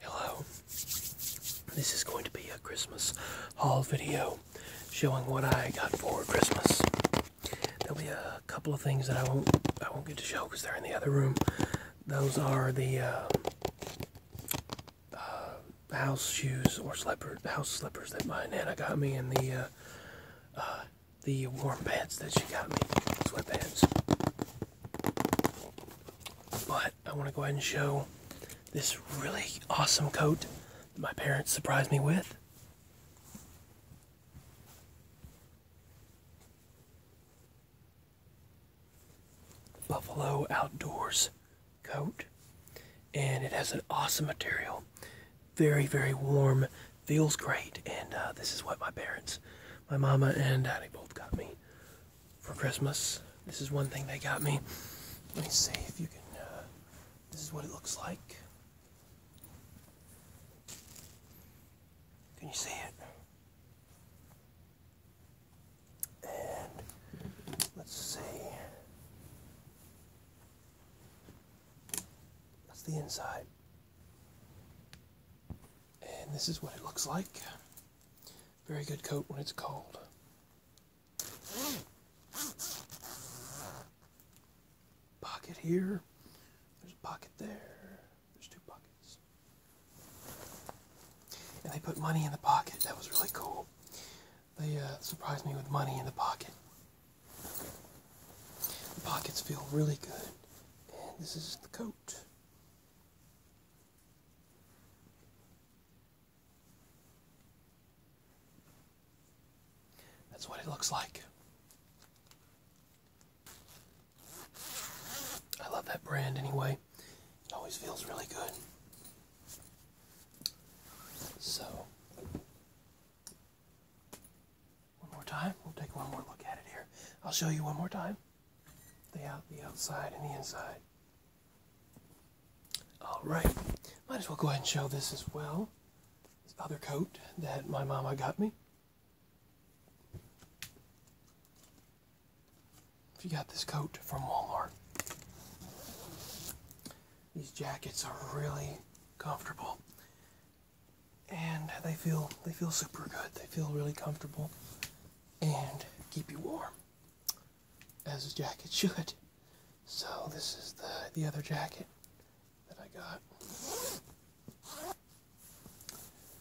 Hello. This is going to be a Christmas haul video showing what I got for Christmas. There'll be a couple of things that I won't I won't get to show because they're in the other room. Those are the uh, uh, house shoes or slipper house slippers that my nana got me, and the uh, the warm pants that she got me, sweatpants. But I want to go ahead and show this really awesome coat that my parents surprised me with. Buffalo Outdoors coat, and it has an awesome material. Very, very warm, feels great, and uh, this is what my parents my mama and daddy both got me for Christmas. This is one thing they got me. Let me see if you can. Uh, this is what it looks like. Can you see it? And let's see. That's the inside. And this is what it looks like. Very good coat when it's cold. Pocket here. There's a pocket there. There's two pockets. And they put money in the pocket. That was really cool. They uh, surprised me with money in the pocket. The pockets feel really good. this is the coat. That's what it looks like. I love that brand anyway. It always feels really good. So, one more time. We'll take one more look at it here. I'll show you one more time. The out, the outside, and the inside. All right. Might as well go ahead and show this as well. This other coat that my mama got me. If you got this coat from Walmart. These jackets are really comfortable and they feel they feel super good. They feel really comfortable and keep you warm, as a jacket should. So this is the the other jacket that I got.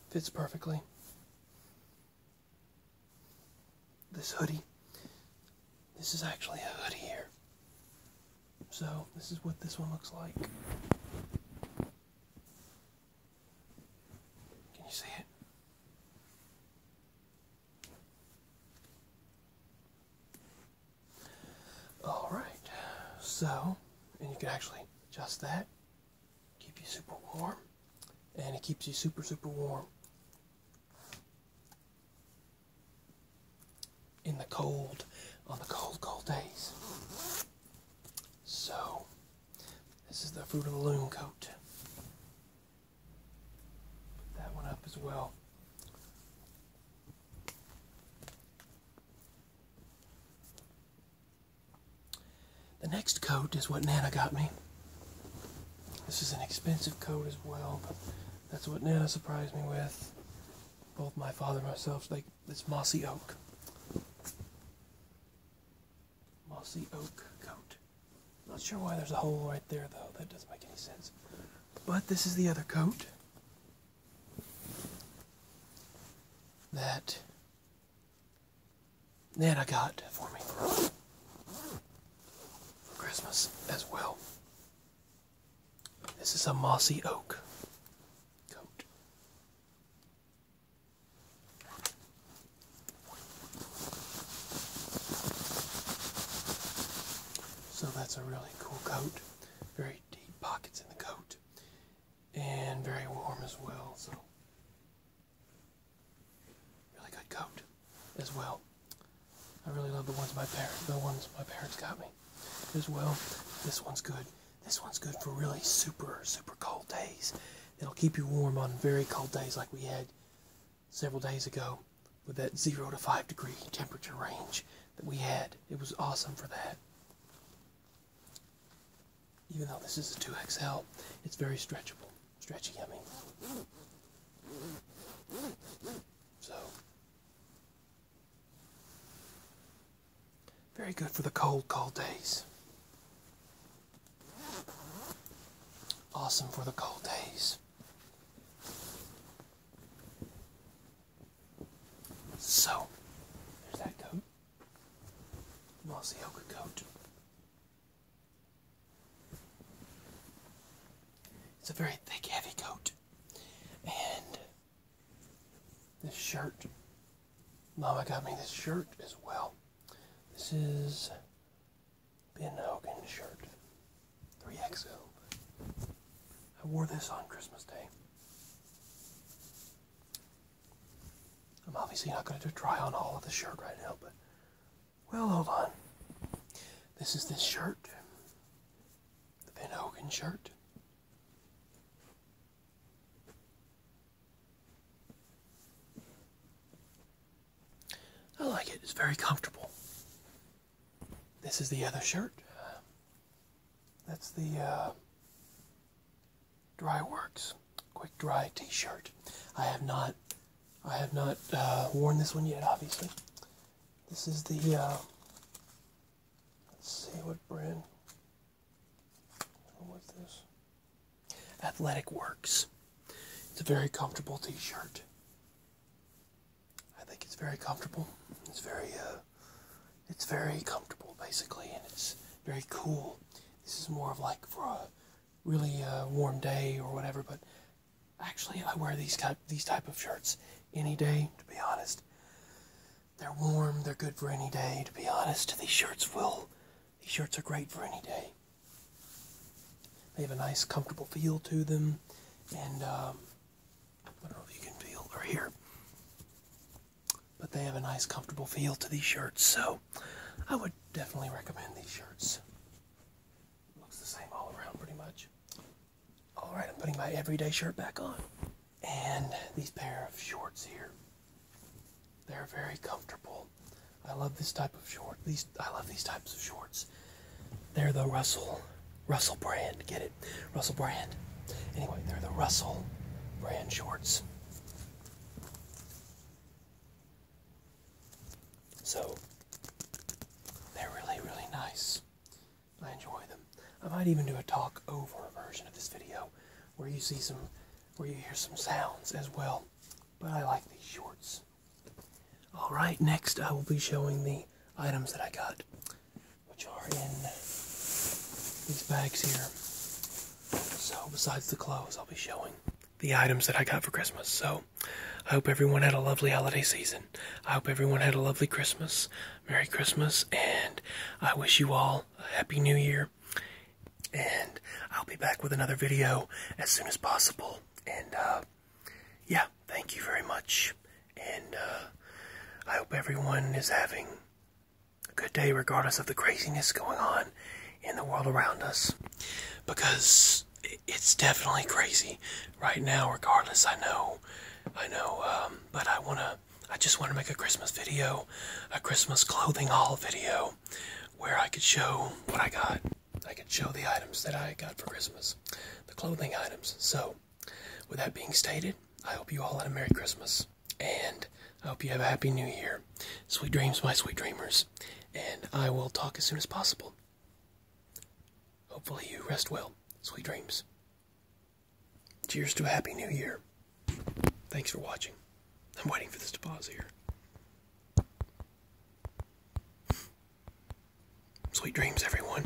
Fits perfectly. This hoodie. This is actually a hoodie here. So this is what this one looks like. Can you see it? Alright, so, and you can actually adjust that, keep you super warm, and it keeps you super, super warm in the cold on the cold, cold days. So, this is the Fruit of the Loom coat. Put that one up as well. The next coat is what Nana got me. This is an expensive coat as well, that's what Nana surprised me with. Both my father and myself, they, it's mossy oak. Mossy oak coat. Not sure why there's a hole right there though, that doesn't make any sense. But this is the other coat. That Nana got for me. For Christmas as well. This is a mossy oak coat. So that's a really cool coat. Very deep pockets in the coat and very warm as well. So Really good coat as well. I really love the ones my parents the ones my parents got me as well. This one's good. This one's good for really super, super cold days. It'll keep you warm on very cold days like we had several days ago with that zero to five degree temperature range that we had. It was awesome for that. Even though this is a 2XL, it's very stretchable stretchy yummy. So, very good for the cold, cold days. Awesome for the cold days. So, there's that coat. Mossy oak coat. It's a very thick, heavy coat. And this shirt. Mama got me this shirt as well. This is Ben Hogan shirt. 3XO. I wore this on Christmas Day. I'm obviously not going to try on all of the shirt right now, but well, hold on. This is this shirt, the Van Hogan shirt. I like it, it's very comfortable. This is the other shirt. That's the uh, Dry Works quick dry T-shirt. I have not, I have not uh, worn this one yet. Obviously, this is the. Uh, let's see what brand. What's this? Athletic Works. It's a very comfortable T-shirt. I think it's very comfortable. It's very, uh, it's very comfortable basically, and it's very cool. This is more of like for a really uh, warm day or whatever. But actually, I wear these type these type of shirts any day. To be honest, they're warm. They're good for any day. To be honest, these shirts will. These shirts are great for any day. They have a nice, comfortable feel to them, and um, I don't know if you can feel or hear but they have a nice comfortable feel to these shirts so i would definitely recommend these shirts looks the same all around pretty much all right i'm putting my everyday shirt back on and these pair of shorts here they're very comfortable i love this type of short these i love these types of shorts they're the russell russell brand get it russell brand anyway they're the russell brand shorts so they're really, really nice. I enjoy them. I might even do a talk over version of this video where you see some, where you hear some sounds as well. But I like these shorts. Alright, next I will be showing the items that I got which are in these bags here. So, besides the clothes, I'll be showing the items that I got for Christmas. So, I hope everyone had a lovely holiday season. I hope everyone had a lovely Christmas. Merry Christmas, and I wish you all a Happy New Year. And I'll be back with another video as soon as possible. And, uh, yeah, thank you very much. And, uh, I hope everyone is having good day, regardless of the craziness going on in the world around us. Because it's definitely crazy right now, regardless. I know, I know, um, but I want to. I just want to make a Christmas video, a Christmas clothing haul video, where I could show what I got. I could show the items that I got for Christmas, the clothing items. So, with that being stated, I hope you all had a Merry Christmas, and I hope you have a Happy New Year. Sweet dreams, my sweet dreamers, and I will talk as soon as possible. Hopefully, you rest well. Sweet dreams. Cheers to a Happy New Year. Thanks for watching. I'm waiting for this to pause here. Sweet dreams, everyone.